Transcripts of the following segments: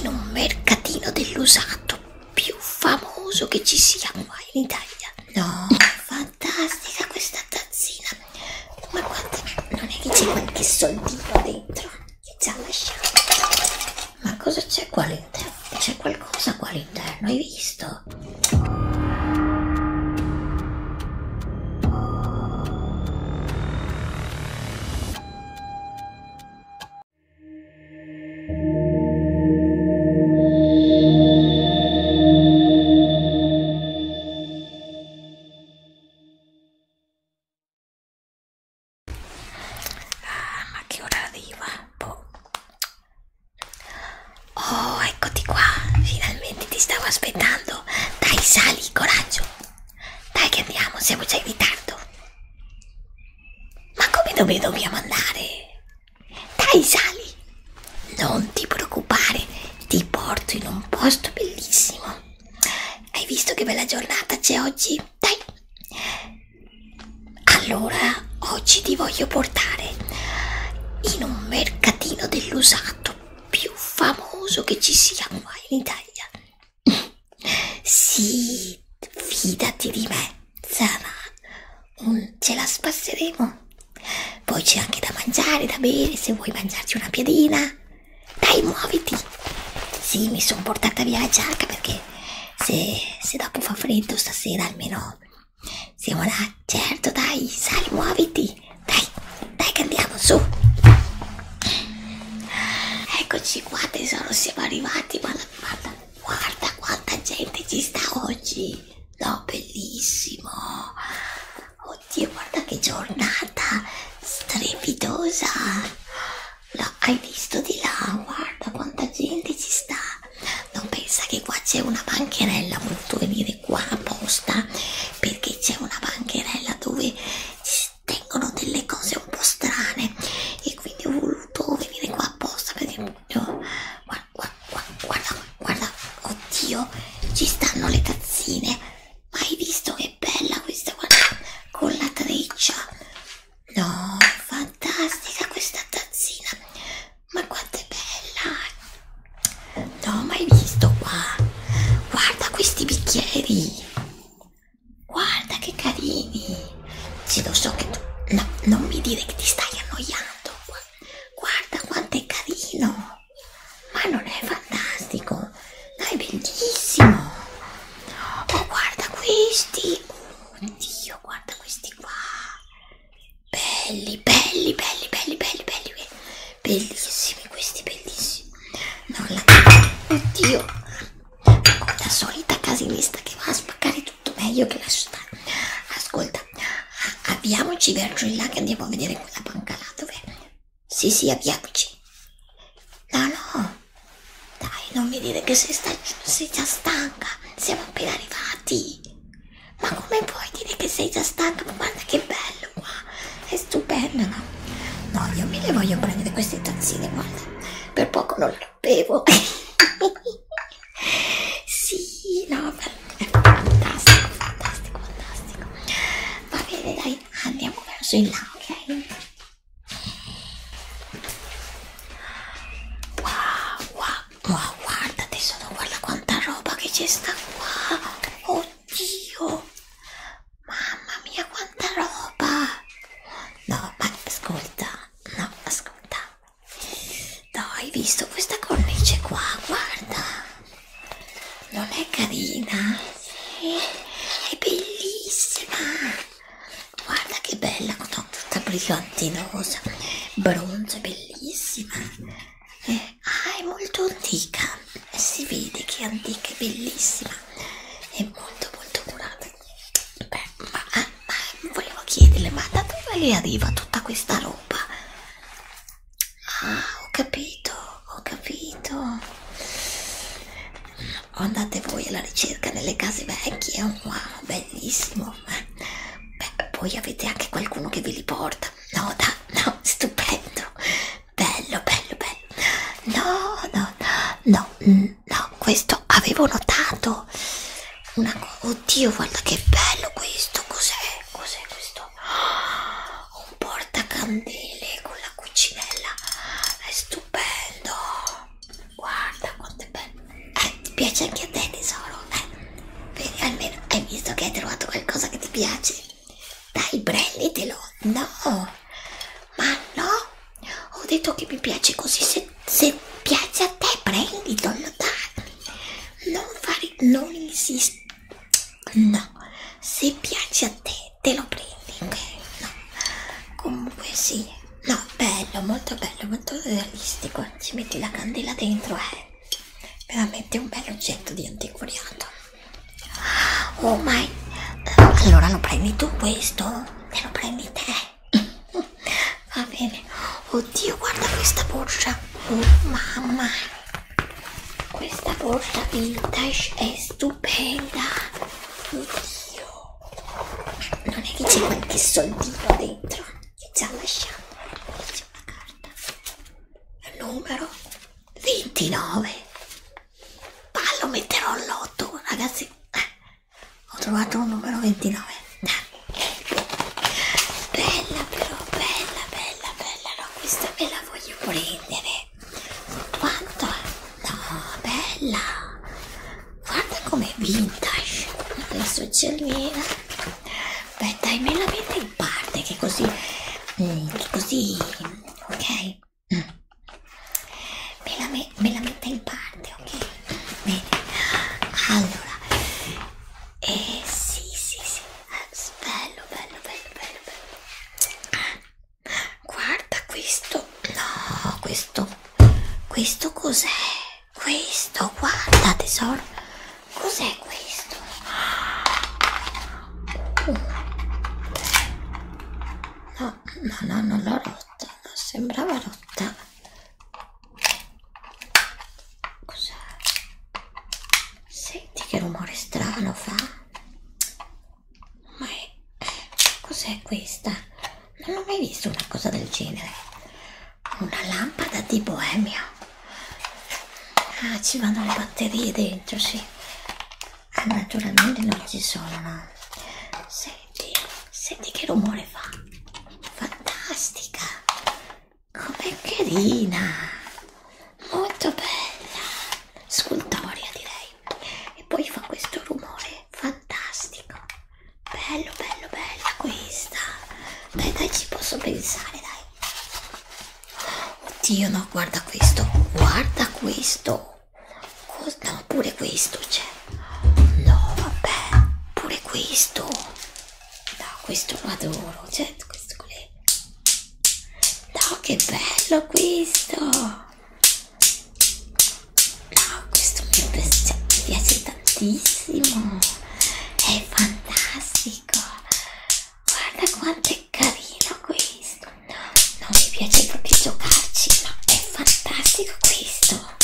in un mercatino dell'usato più famoso che ci sia qua in Italia. No, fantastica questa tazzina. Ma guarda, non è che c'è qualche soldino dentro? Che già lasciamo. Ma cosa c'è qua all'interno? C'è qualcosa qua all'interno, hai visto? Ah, ma che ora arriva? Boh. Oh, eccoti qua, finalmente ti stavo aspettando. Dai, sali, coraggio. Dai che andiamo, siamo già in ritardo. Ma come dove dobbiamo andare? Dai, sali! Non ti preoccupare, ti porto in un posto bellissimo. Hai visto che bella giornata c'è oggi? Dai! Allora, oggi ti voglio portare in un mercatino dell'usato più famoso che ci sia qua in Italia. Sì, fidati di me, Zara. Mm, ce la spasseremo. Poi c'è anche da mangiare, da bere, se vuoi mangiarci una piadina. Dai, muoviti. Sì, mi sono portata via la giacca perché se, se dopo fa freddo stasera almeno siamo là. Certo, dai, sali, muoviti. Dai. Dai che andiamo su. Eccoci qua tesoro, siamo arrivati. Guarda, guarda, guarda quanta gente ci sta oggi. No, bellissimo. Oddio, guarda che giornata strepitosa. No, hai visto di là? Guarda quanta gente ci sta. Non pensa che qua c'è una bancherella, ho voluto venire qua apposta perché c'è una bancherella dove ci tengono delle cose un po' strane e quindi ho voluto venire qua apposta perché guarda, guarda, guarda, guarda, oddio, ci stanno le tazzine, ma hai visto che bella questa, guarda, con la treccia, no, fantastica questa tazzina, ma quanto è bella, no, ma hai visto qua, guarda questi bicchieri Guarda che carini! Sì, lo so che tu... No, non mi dire che ti stai annoiando. Guarda quanto è carino! Ma non è fantastico? No, è bellissimo! Oh, guarda questi! Oddio, guarda questi qua! Belli, belli, belli, belli, belli, belli! Bellissimi questi, bellissimi! non la... oddio la solita casinista che va a spaccare tutto meglio che la città ascolta avviamoci verso il lago e andiamo a vedere quella banca là dove sì sì avviamoci no no dai non mi dire che sei, sta... sei già stanca siamo appena arrivati ma come puoi dire che sei già stanca ma guarda che bello bello qua, è stupendo, no? No, io me le voglio prendere queste tazzine, guarda, per poco non lo bevo. sì, no, è fantastico, fantastico, fantastico. Va bene, dai, andiamo verso in là, ok? Wow, wow, wow, guarda tesoro, guarda quanta roba che c'è sta qua. Oddio. Oddio! Mamma mia, quanta roba! No, ma ascolta, no, ascolta. No, hai visto questa cornice qua? Guarda! Non è carina? Sì. È bellissima! Guarda che bella, tutta brillantinosa, bronzo, bellissima! ah è molto antica eh, si vede che è antica è bellissima è molto molto curata beh ma, ah, ma volevo chiederle ma da dove le arriva tutta questa roba ah ho capito ho capito andate voi alla ricerca nelle case vecchie wow bellissimo beh poi avete anche qualcuno che ve li porta no, da, no, stupendo, bello, bello, bello, no, no, no, no, questo avevo notato, una oddio, guarda che bello questo, cos'è, cos'è questo, oh, un portacandele con la cucinella, è stupendo, guarda quanto è bello, eh, ti piace anche a te tesoro, eh, almeno hai visto che hai trovato qualcosa che ti piace dai, prenditelo. No, ma no. Ho detto che mi piace così. Se, se piace a te, prenditelo. Dai. Non fare, non insisti. No, se piace a te, te lo prendi. Ok, no. Comunque, sì. No, bello, molto bello, molto realistico. Ci metti la candela dentro, eh veramente un bel oggetto di antiquariato oh my allora lo prendi tu questo e lo prendi te va bene oddio guarda questa borsa oh mamma questa borsa vintage è stupenda oddio non è che c'è qualche soldino dentro che già lasciamo una carta numero 29 ma lo metterò all'otto ragazzi eh, ho trovato un numero 29 bella però bella bella bella no questa me la voglio prendere quanto no bella guarda com'è vintage adesso c'è il mio Beh, dai, me la metti in parte, che così, mm, che così, ok? Me la, me, me la metta in parte, ok? Bene, allora, eh sì, sì, sì, bello, bello, bello, bello, bello. Guarda questo, no, questo, questo cos'è? questo? Guarda tesoro, cos'è questo? No, no, no, non l'ho rotta, no, sembrava rotta. Cos'è? Senti che rumore strano fa? Ma è... cos'è questa? Non ho mai visto una cosa del genere una lampada di boemia ah ci vanno le batterie dentro sì eh, naturalmente non ci sono no senti senti che rumore fa fantastica come carina molto bella scultoria direi e poi fa questo rumore fantastico bello bello bella questa dai dai ci posso pensare dai oddio no guarda questo guarda questo Cos no pure questo c'è cioè. no vabbè pure questo no questo lo adoro certo questo con le no che bello questo no questo mi piace, mi piace tantissimo è fantastico guarda quanto è carino questo non mi piace proprio giocarci ma è fantastico questo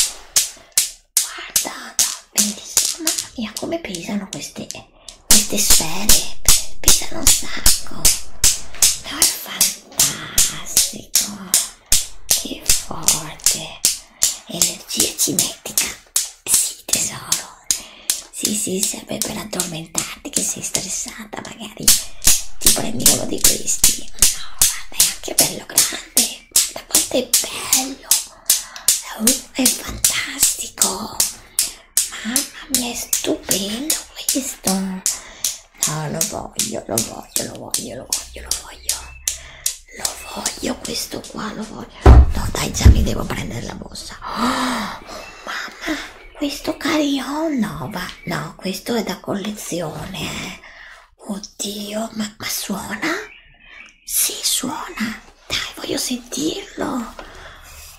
guarda bellissimo mamma mia come pesano queste queste sfere pesano un sacco no, è fantastico che forte energia cinetica sì tesoro sì sì serve per addormentarti che sei stressata magari ti prendi uno di questi no guarda è anche bello grande guarda quanto è bello uh, è fantastico mamma mia è stupendo questo no lo voglio lo voglio lo voglio lo voglio lo voglio lo voglio questo qua, lo voglio. No, dai, già mi devo prendere la borsa. Oh, mamma, questo carillon no, va. No, questo è da collezione. Eh. Oddio, ma, ma suona? Sì, suona. Dai, voglio sentirlo.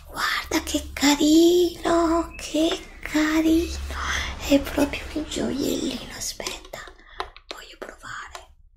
Guarda che carino, che carino. È proprio un gioiellino, aspetta. Voglio provare.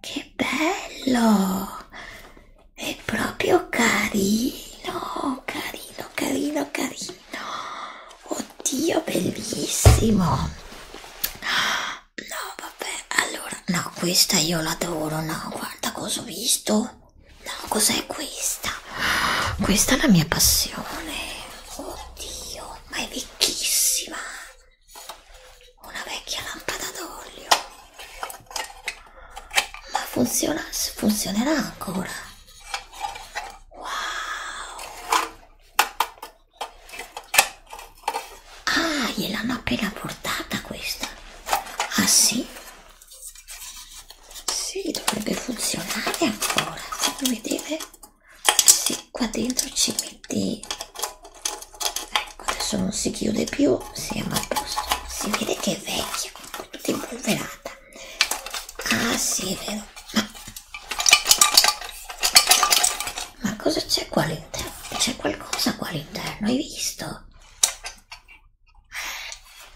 Che bello! È proprio carino, carino, carino, carino. Oddio, bellissimo. No, vabbè, allora, no, questa io l'adoro, no, guarda cosa ho visto. No, cos'è questa? Questa è la mia passione. Oddio, ma è vecchissima una vecchia lampada d'olio ma funziona, funzionerà ancora wow ah gliel'hanno appena portata questa ah sì sì dovrebbe funzionare ancora fatemi vedere sì, qua dentro ci metti ecco adesso non si chiude più siamo a posto si vede che è vecchia tutta impolverata ah sì è vero ma, ma cosa c'è qua all'interno c'è qualcosa qua all'interno hai visto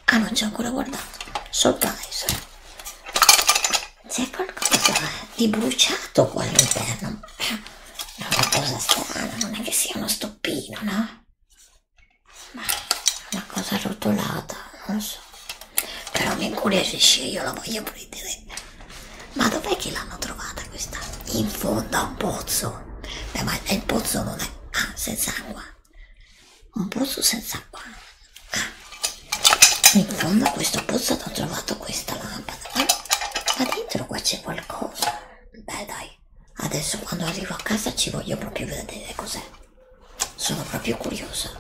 ah non ci ho ancora guardato surprise c'è qualcosa di bruciato qua all'interno. È una cosa strana, non è che sia uno stoppino, no? Ma è una cosa rotolata, non lo so. Però mi incuriosisce, io la voglio prendere. Ma dov'è che l'hanno trovata questa? In fondo a un pozzo. Beh, ma il pozzo non è... Ah, senza acqua. Un pozzo senza acqua. Ah. In fondo a questo pozzo hanno trovato questa lampada eh? ma dentro qua c'è qualcosa beh dai adesso quando arrivo a casa ci voglio proprio vedere cos'è sono proprio curiosa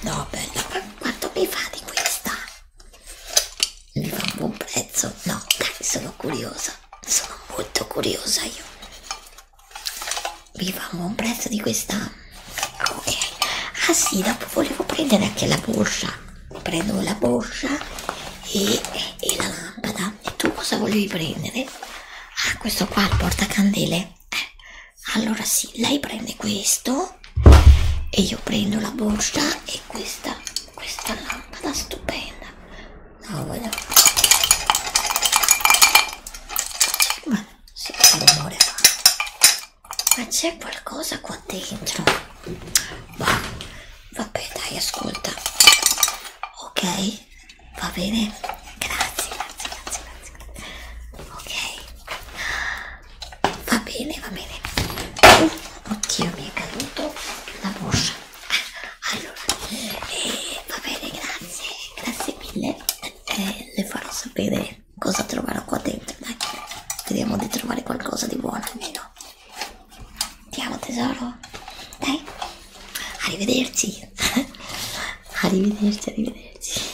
no bella quanto mi fa di questa mi fa un buon prezzo no dai sono curiosa sono molto curiosa io mi fa un buon prezzo di questa ok ah sì dopo volevo prendere anche la borsa prendo la borsa e, e la lampada e tu cosa volevi prendere? ah questo qua il portacandele eh, allora sì lei prende questo e io prendo la borsa e questa questa lampada stupenda no voglio ma sì, che rumore fa ma c'è qualcosa qua dentro ma, vabbè dai ascolta ok va bene grazie grazie grazie grazie ok va bene va bene uh, oddio mi è caduto la borsa allora eh, va bene grazie grazie mille eh, le farò sapere cosa troverò qua dentro, dai. Vediamo di trovare qualcosa di buono almeno. Andiamo tesoro. Dai. Arrivederci. arrivederci, arrivederci.